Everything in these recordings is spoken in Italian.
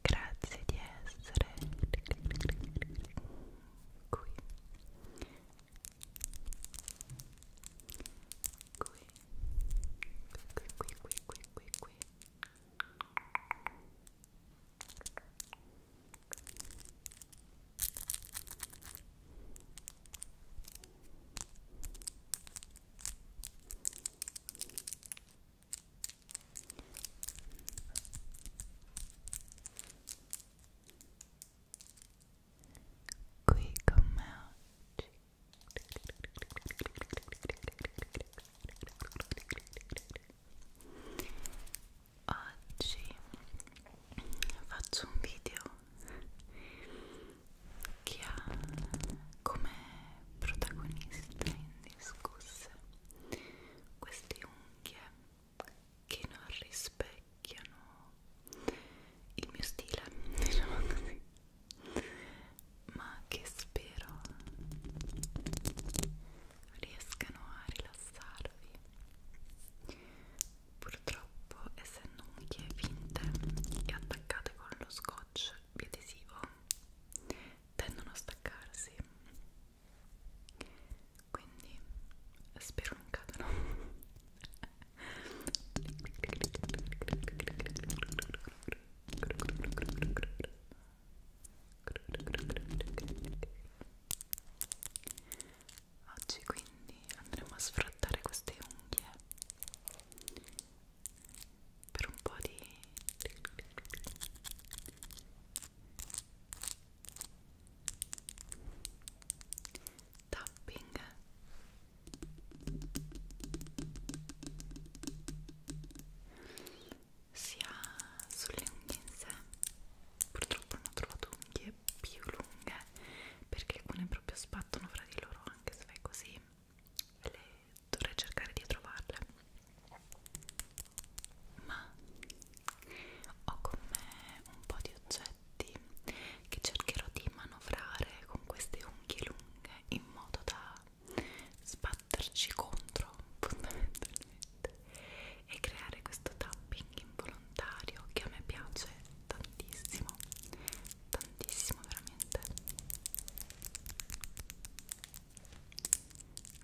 Grazie di essere qui. Qui. Qui, qui, qui, qui, qui, qui. Qui, qui con me oggi oggi faccio un video che ha come protagonista indiscusse queste unghie che non rispecchiano il mio stile, diciamo così, ma che spero riescano a rilassarvi. Purtroppo, essendo unghie finte e attaccate con lo scotch biadesivo, tendono a staccarsi quindi spero non cadano oggi quindi andremo a sfruttare queste unghie per un po' di tapping sia sulle unghie in sé purtroppo non ho trovato unghie più lunghe perché alcune proprio sbattono fra di loro anche se fai così le dovrei cercare di trovarle ma ho con me un po' di oggetti che cercherò di manovrare con queste unghie lunghe in modo da sbatterci contro fondamentalmente e creare questo tapping involontario che a me piace tantissimo tantissimo veramente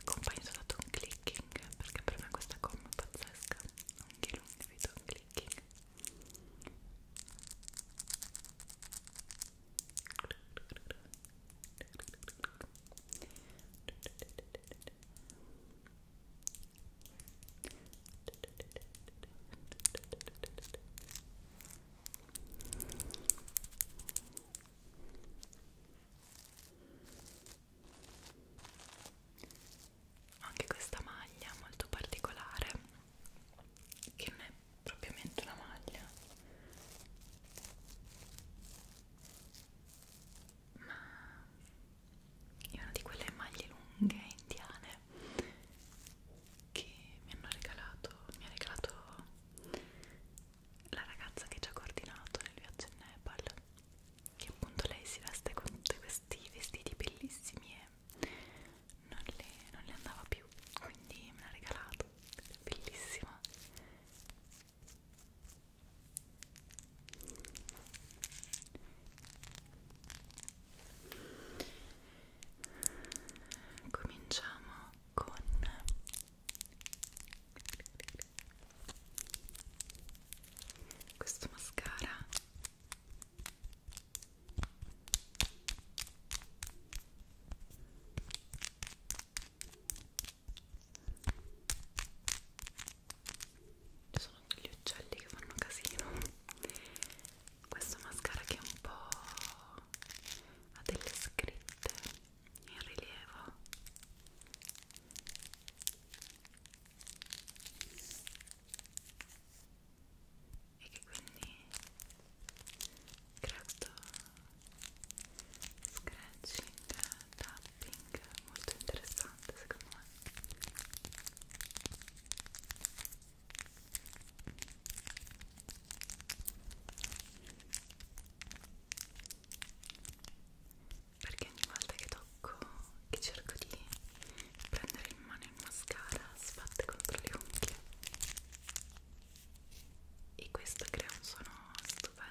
accompagnato da ton clicking perché per me questa gomma è pazzesca anche lunghi di ton clicking ok anche questa maglia molto particolare che non è propriamente una maglia ma è una di quelle maglie lunghe indiane che mi hanno regalato mi ha regalato la ragazza che ci ha coordinato nel viaggio in Nepal che appunto lei si veste con tutti questi vestiti bellissimi e non le, non le andava più quindi me l'ha regalato è bellissima cominciamo con questo mascara ci sono gli uccelli che fanno casino questo mascara che è un po' ha delle scritte in rilievo e che quindi crea questo scratching, tapping molto interessante secondo me perché ogni volta che tocco che cerco di prendere in mano il mascara sbatte contro le unghie e questo crea un suono stupendo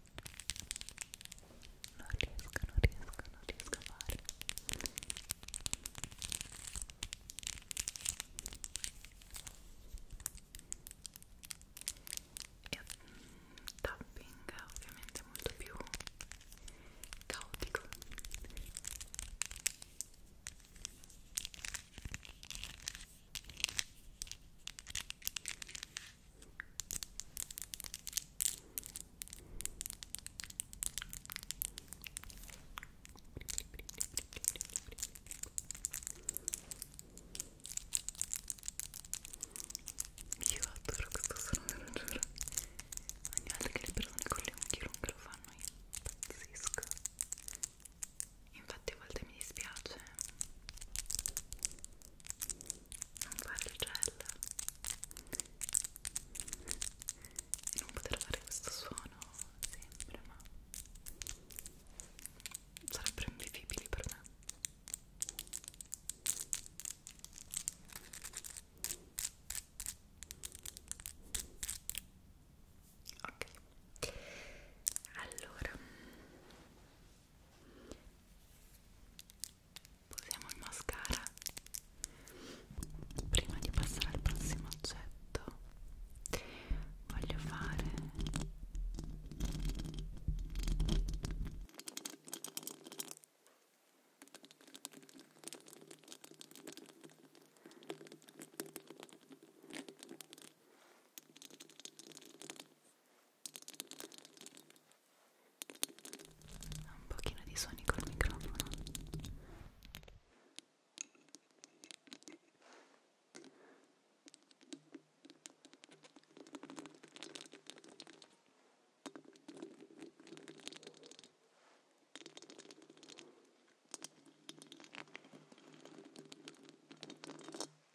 non riesco, non riesco, non riesco a fare e mm, tapping ovviamente molto più caotico io adoro questo suono, lo giuro. Ogni volta che le persone con le unghie lunghe lo fanno io impazzisco. Infatti a volte mi dispiace non fare il gel e non poter fare questo suono sempre ma sarebbero invivibili per me ok allora Posiamo il mascara prima di passare al prossimo oggetto voglio fare un pochino di suoni col microfono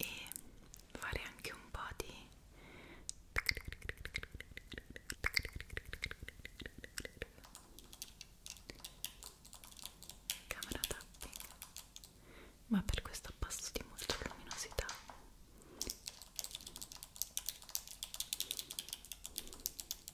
e fare anche un po' di camera tapping ma per questo abbasso di molto luminosità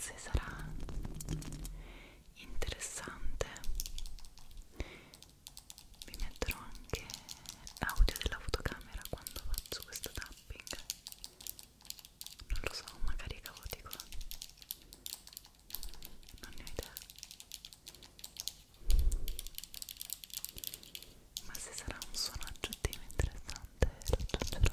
se sarà interessante vi metterò anche l'audio della fotocamera quando faccio questo tapping non lo so, magari è caotico non ne ho idea ma se sarà un suono aggiuntivo interessante lo aggiungerò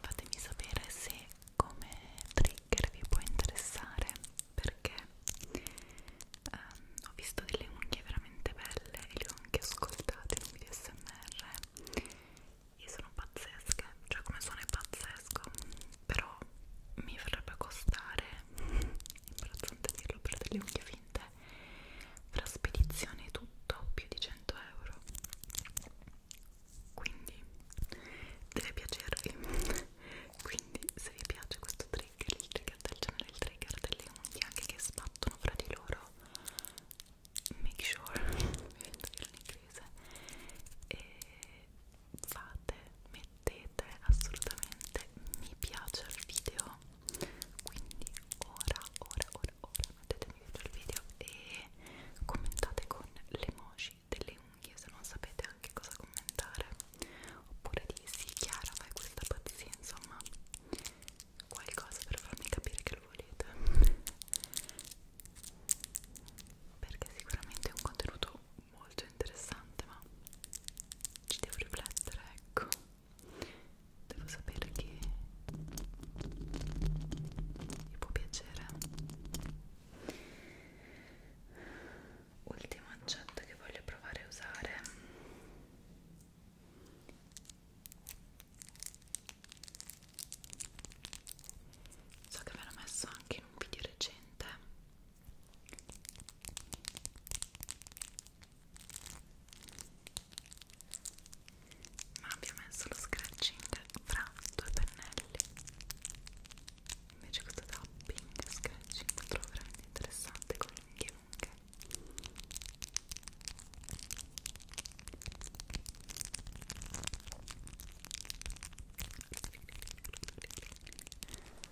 fatemi sapere se come trigger vi può interessare perché um, ho visto delle unghie veramente belle e le ho anche ascoltate in un video smr e sono pazzesche cioè come suono è pazzesco però mi verrebbe a costare imbarazzante dirlo per delle unghie finte fra spedizione e tutto più di 100 euro quindi deve piacervi quindi se vi piace questo trigger il trigger del genere il trigger delle unghie anche che sbattono fra di loro make sure vedendo che in inglese e fate mettete assolutamente mi piace al video quindi ora ora ora ora mettetemi dentro il video e commentate con le emoji delle unghie se non sapete anche cosa commentare oppure di sì Chiara fai questa pazzia insomma qualcosa per farmi capire che lo volete perché sicuramente è un contenuto molto interessante ma ci devo riflettere ecco devo sapere che vi può piacere ultimo oggetto che voglio provare a usare so che me l'ho messo anche in un video recente ma abbiamo messo lo scratching fra due pennelli invece questo tapping e scratching lo trovo veramente interessante con le unghie lunghe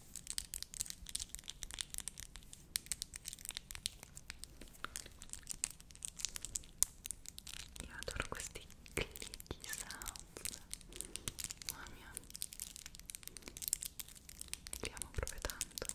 Io adoro questi clicky sounds. Mamma mia. Li amo proprio tanto.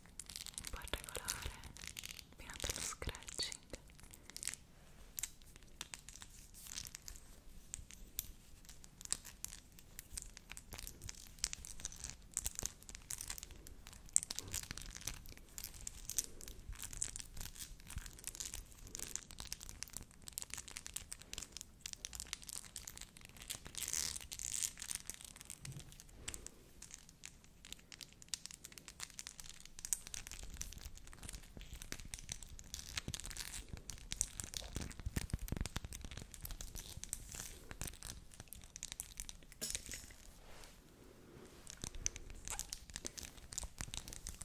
un po' regolare mirando allo scratching Ecco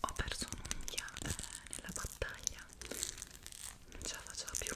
ho perso un'unghia eh, nella battaglia, non ce la faccio più.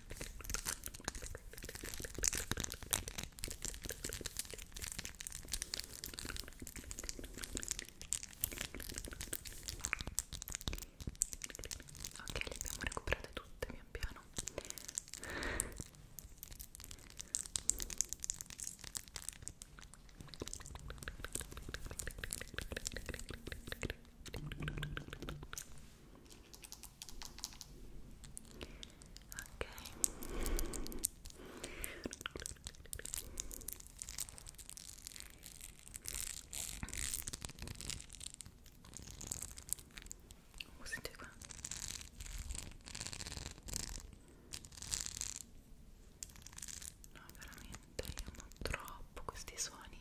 Ok, le abbiamo recuperate tutte pian piano. Ok. Oh, senti qua. No, veramente io amo troppo questi suoni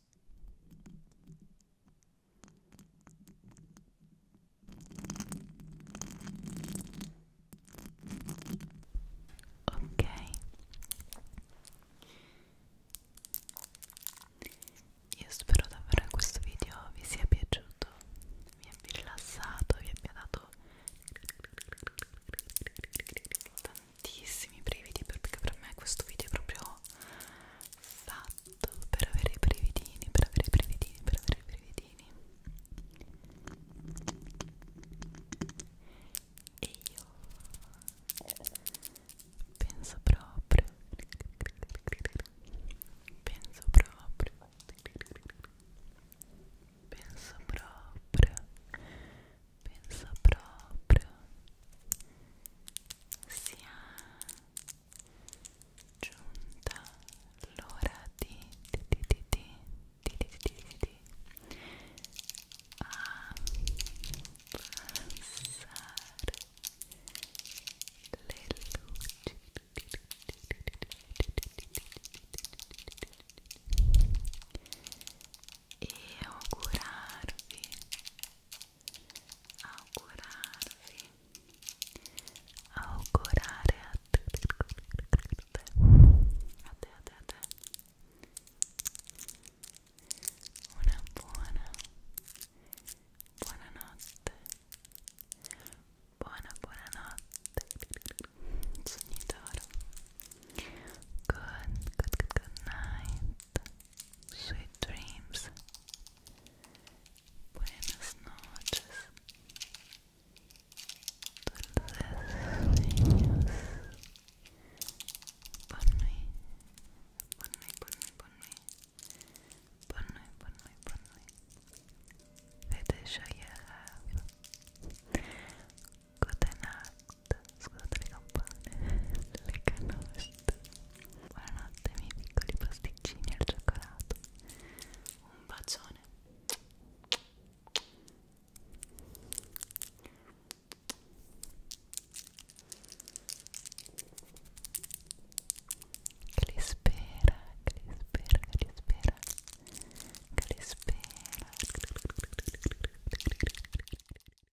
Ok, io spero davvero che questo video vi sia piaciuto, vi abbia rilassato, vi abbia dato tantissimi brividi perché per me questo video è proprio fatto per avere i brividini, per avere i brividini, per avere i brividini e io penso proprio penso proprio penso proprio penso proprio sia giunta l'ora di di di di di di di di di abbassare le luci e augurarvi augurarvi augurare a te a te a te, una buona buonanotte buona buonanotte sogni d'oro good good good night sweet dreams, buenas noches, dulces sueños, ponme, ponme, ponme, ponme, ponme, ponme, ponme, vete ya, ya, good scusate le campane, le canoste Buonanotte miei piccoli pasticcini al cioccolato Un bacione che li spera, che li spera, che li spera, che li spera.